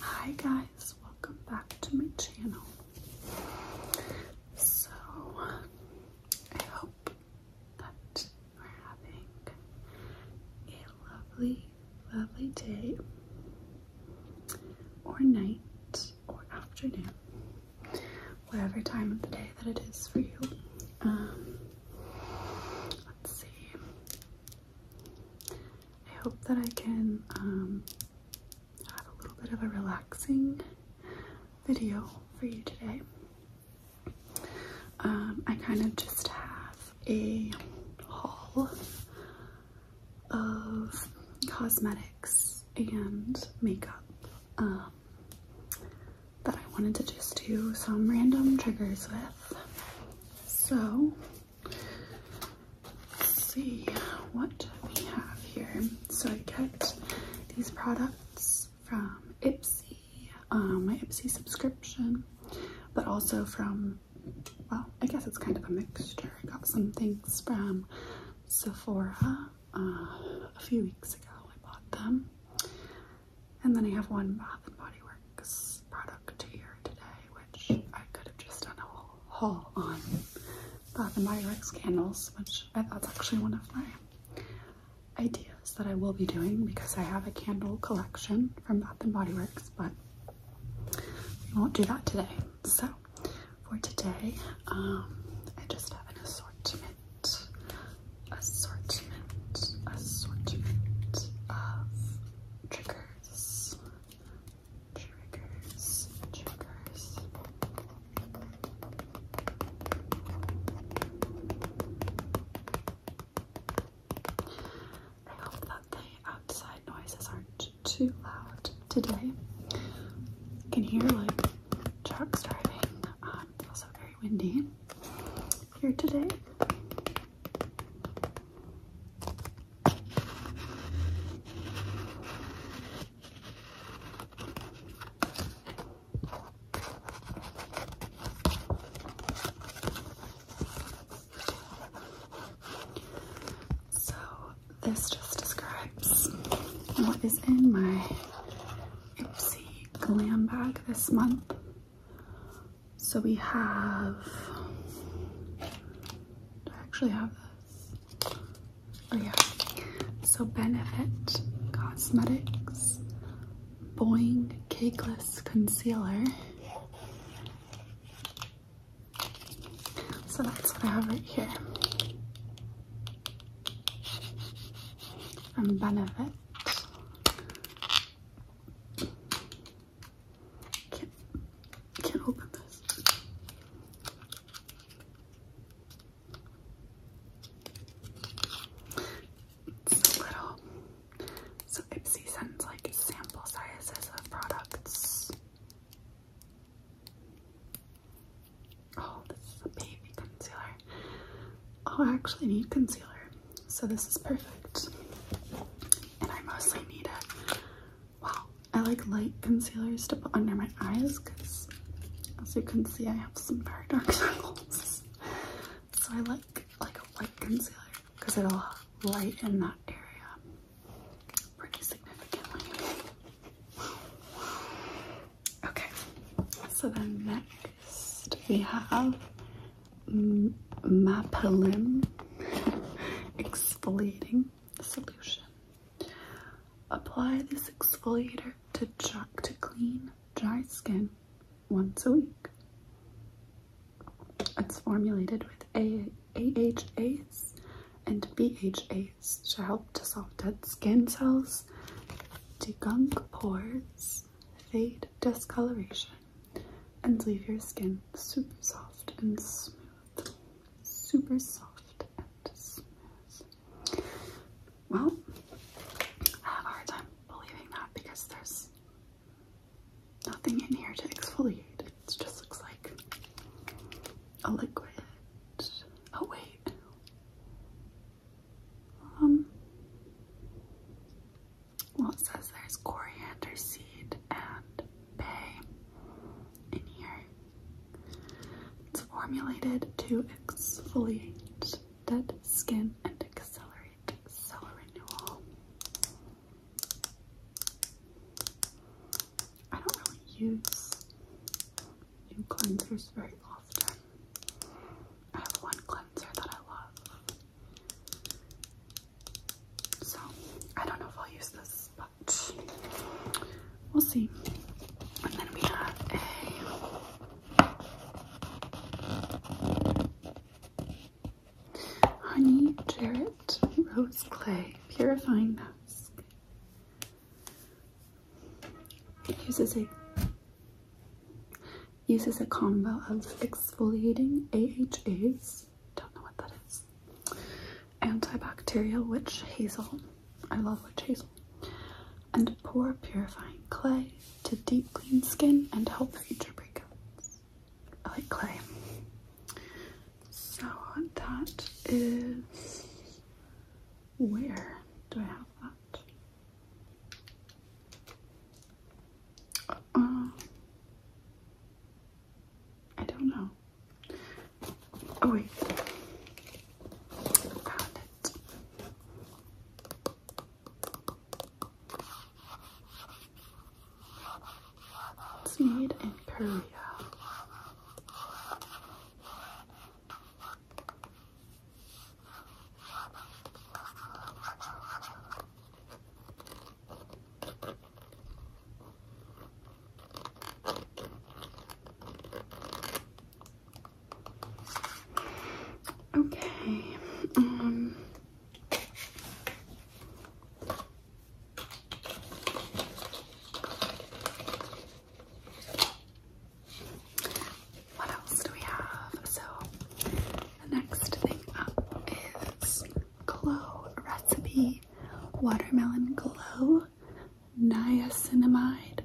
Hi guys, welcome back to my channel. So, I hope that you are having a lovely, lovely day or night or afternoon, whatever time of the day that it is for you. Um, let's see. I hope that I can um, have a little bit of a relaxing video for you today. Um, I kind of just have a haul of cosmetics and makeup um, that I wanted to just do some random triggers with. So let's see what we have here. So I get these products from Ipsy, uh, my Ipsy subscription, but also from well, I guess it's kind of a mixture. I got some things from Sephora uh, a few weeks ago. I bought them. And then I have one Bath and Body Works product here today, which I could have just done a whole haul on Bath and Body Works candles, which I thought's actually one of my ideas that I will be doing because I have a candle collection from Bath and Body Works, but I won't do that today. So for today, um, I just have an assortment, assortment, assortment of triggers, triggers, triggers. I hope that the outside noises aren't too loud today. You can hear like trucks driving. Um, it's also very windy here today. So this just describes what is in my Oopsie glam bag this month. So we have, do I actually have this? Oh yeah. So Benefit Cosmetics Boing Cakeless Concealer so that's what I have right here from Benefit. Can't, can't open this. It's little. So Ipsy sends like sample sizes of products Oh, this is a baby concealer. Oh, I actually need concealer. So this is perfect. And I mostly need it. Wow, I like light concealers to put under my eyes because as you can see I have some very dark circles. So I like like a white concealer because it'll lighten that area. Okay, so then next we have M exfoliating solution. Apply this exfoliator to, to clean dry skin once a week. It's formulated with A AHAs and BHAs to help dissolve dead skin cells, degunk pores, fade discoloration, and leave your skin super soft and smooth. Super soft and smooth. Well, I have a hard time believing that because this nothing in here to exfoliate. It just looks like a liquid. Oh wait. Um well it says there's coriander seed and bay in here. It's formulated to exfoliate dead skin and accelerate cell renewal. I don't really use new cleansers very often. I have one cleanser that I love. So I don't know if I'll use this, but we'll see. And then we have a Honey Jarrett Rose Clay Purifying Mask. uses a uses a combo of exfoliating AHAs, don't know what that is, antibacterial witch hazel, I love witch hazel, and pour purifying clay to deep clean skin and help future breakouts. I like clay. So that is where do I have that? Uh, I don't know. Oh wait, it's made in Korea. Okay, um, what else do we have? So the next thing up is Glow Recipe Watermelon Glow Niacinamide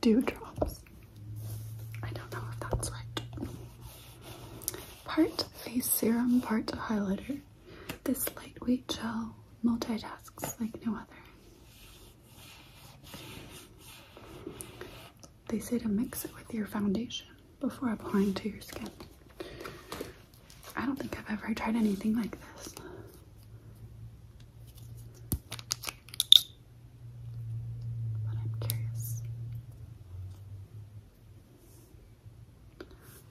Dewdrops. I don't know if that's right. Part face serum, part highlighter. This lightweight gel multitasks like no other. They say to mix it with your foundation before applying to your skin. I don't think I've ever tried anything like this. But I'm curious.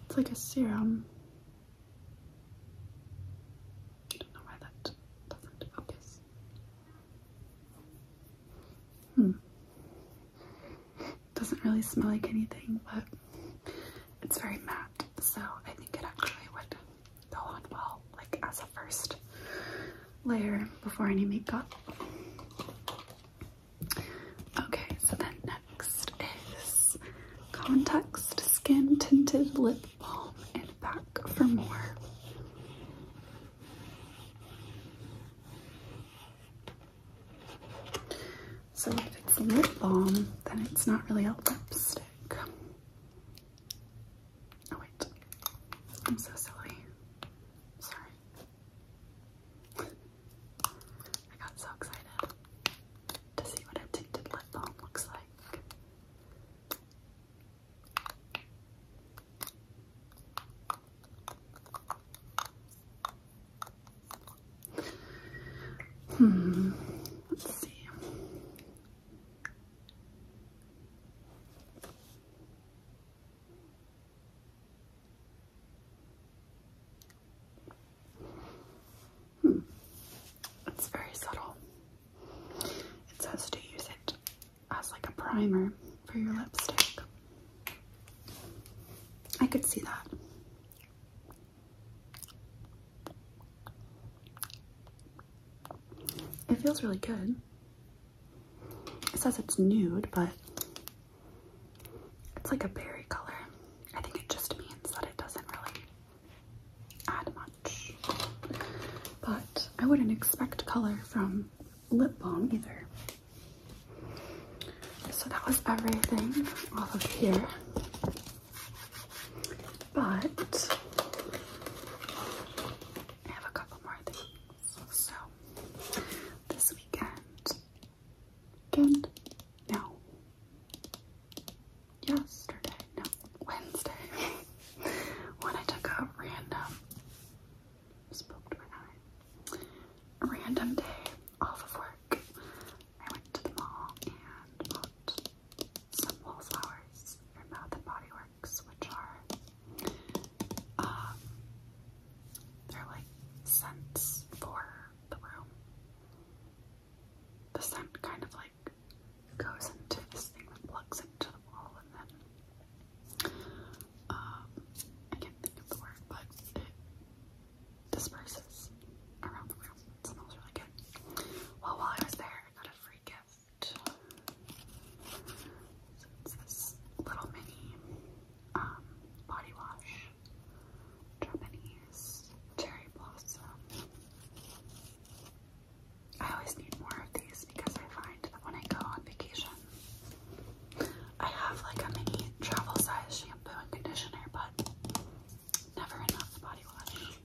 It's like a serum. I don't know why that doesn't focus. Hmm. Doesn't really smell like anything, but it's very matte, so I think it actually would go on well, like as a first layer before any makeup. Okay, so then next is Context Skin Tinted Lip Balm and back for more. So if it's lip balm, then it's not really a lipstick. Oh wait, I'm so silly. Sorry. I got so excited to see what a tinted lip balm looks like. Hmm, let's see. Hmm. It's very subtle. It says to use it as like a primer for your lipstick. I could see that. It feels really good. It says it's nude, but it's like a berry color. I think it just means that it doesn't really add much. But I wouldn't expect color from lip balm either. So that was everything off of here. But I have a couple more things. So this weekend, weekend, no, yesterday, no, Wednesday, when I took a random, random day off of work, I went to the mall and bought some wallflowers from Bath and Body Works, which are um, they're like scents for the room. The scent kind of like goes into this thing that plugs into the wall, and then um, I can't think of the word, but it disperses around the room. It smells really good. Well, while I was there, I got a free gift. So it's this little mini um, body wash, Japanese cherry blossom. I always need more of these because I find that when I go on vacation, I have like a mini travel size shampoo and conditioner, but never enough body wash.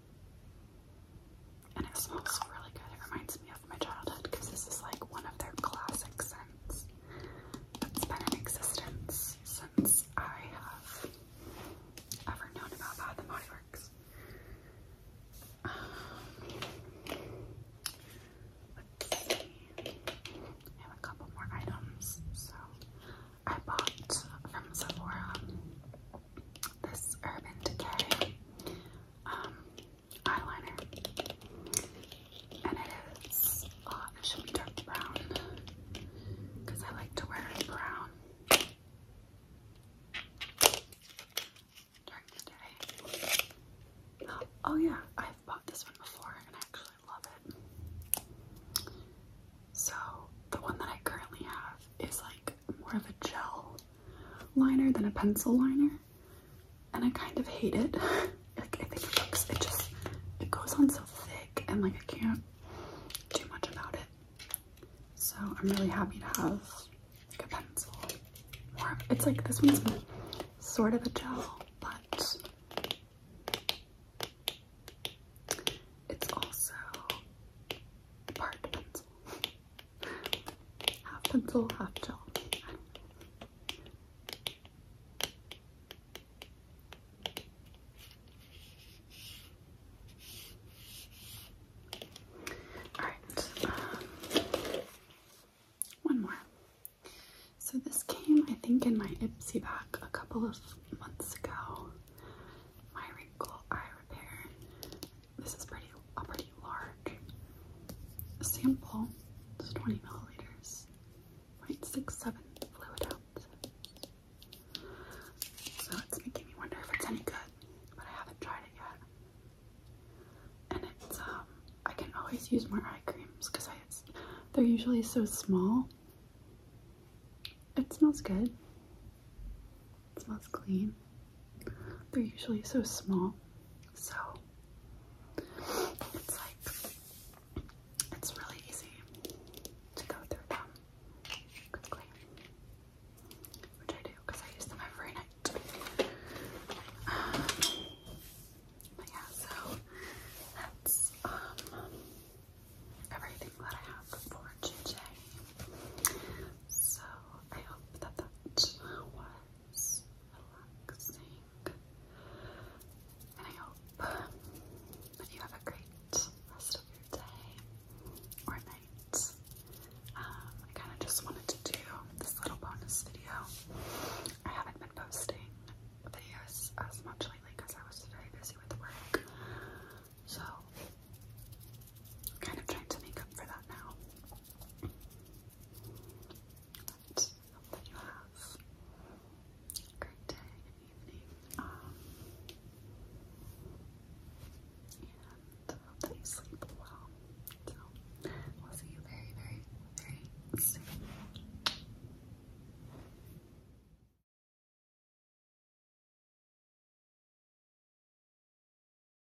And it smells really good. It reminds me my childhood because this is like one of their classic scents that's been in existence since I have ever known about Bath and Body Works. Um, I have a couple more items. So I bought from Sephora this Urban Decay. Um, eyeliner. And it is, uh, it should be dark brown because I like to wear it brown during the day. Oh, oh yeah, I've bought this one before and I actually love it. So the one that I currently have is like more of a gel liner than a pencil liner and I kind of hate it. like I it looks, it just, it goes on so thick and like I can't do much about it. So I'm really happy to have like a pencil. it's like this one's sort of a gel, but it's also part pencil. half pencil, half chalk. All right, one more. So this came, I think, in my Ipsy bag a couple of months ago. My wrinkle eye repair. This is pretty a pretty large sample. It's 20 milliliters, six, seven fluid ounce. So it's making me wonder if it's any good, but I haven't tried it yet. And it's um, I can always use more eye creams because I, they're usually so small. It smells good. It smells clean. They're usually so small, so it's like it's really easy to go through them quickly, which I do because I use them every night. Um, but yeah, so that's um everything that I have for today. So I hope that that relaxing. And I hope that you have a great rest of your day or night. Um, I kind of just wanted to do this little bonus video. I haven't been posting videos as much lately because I was very busy with work. So, I'm kind of trying to make up for that now. But hope that you have a great day and evening. and hope that you sleep well. So we'll see you very, very, very soon.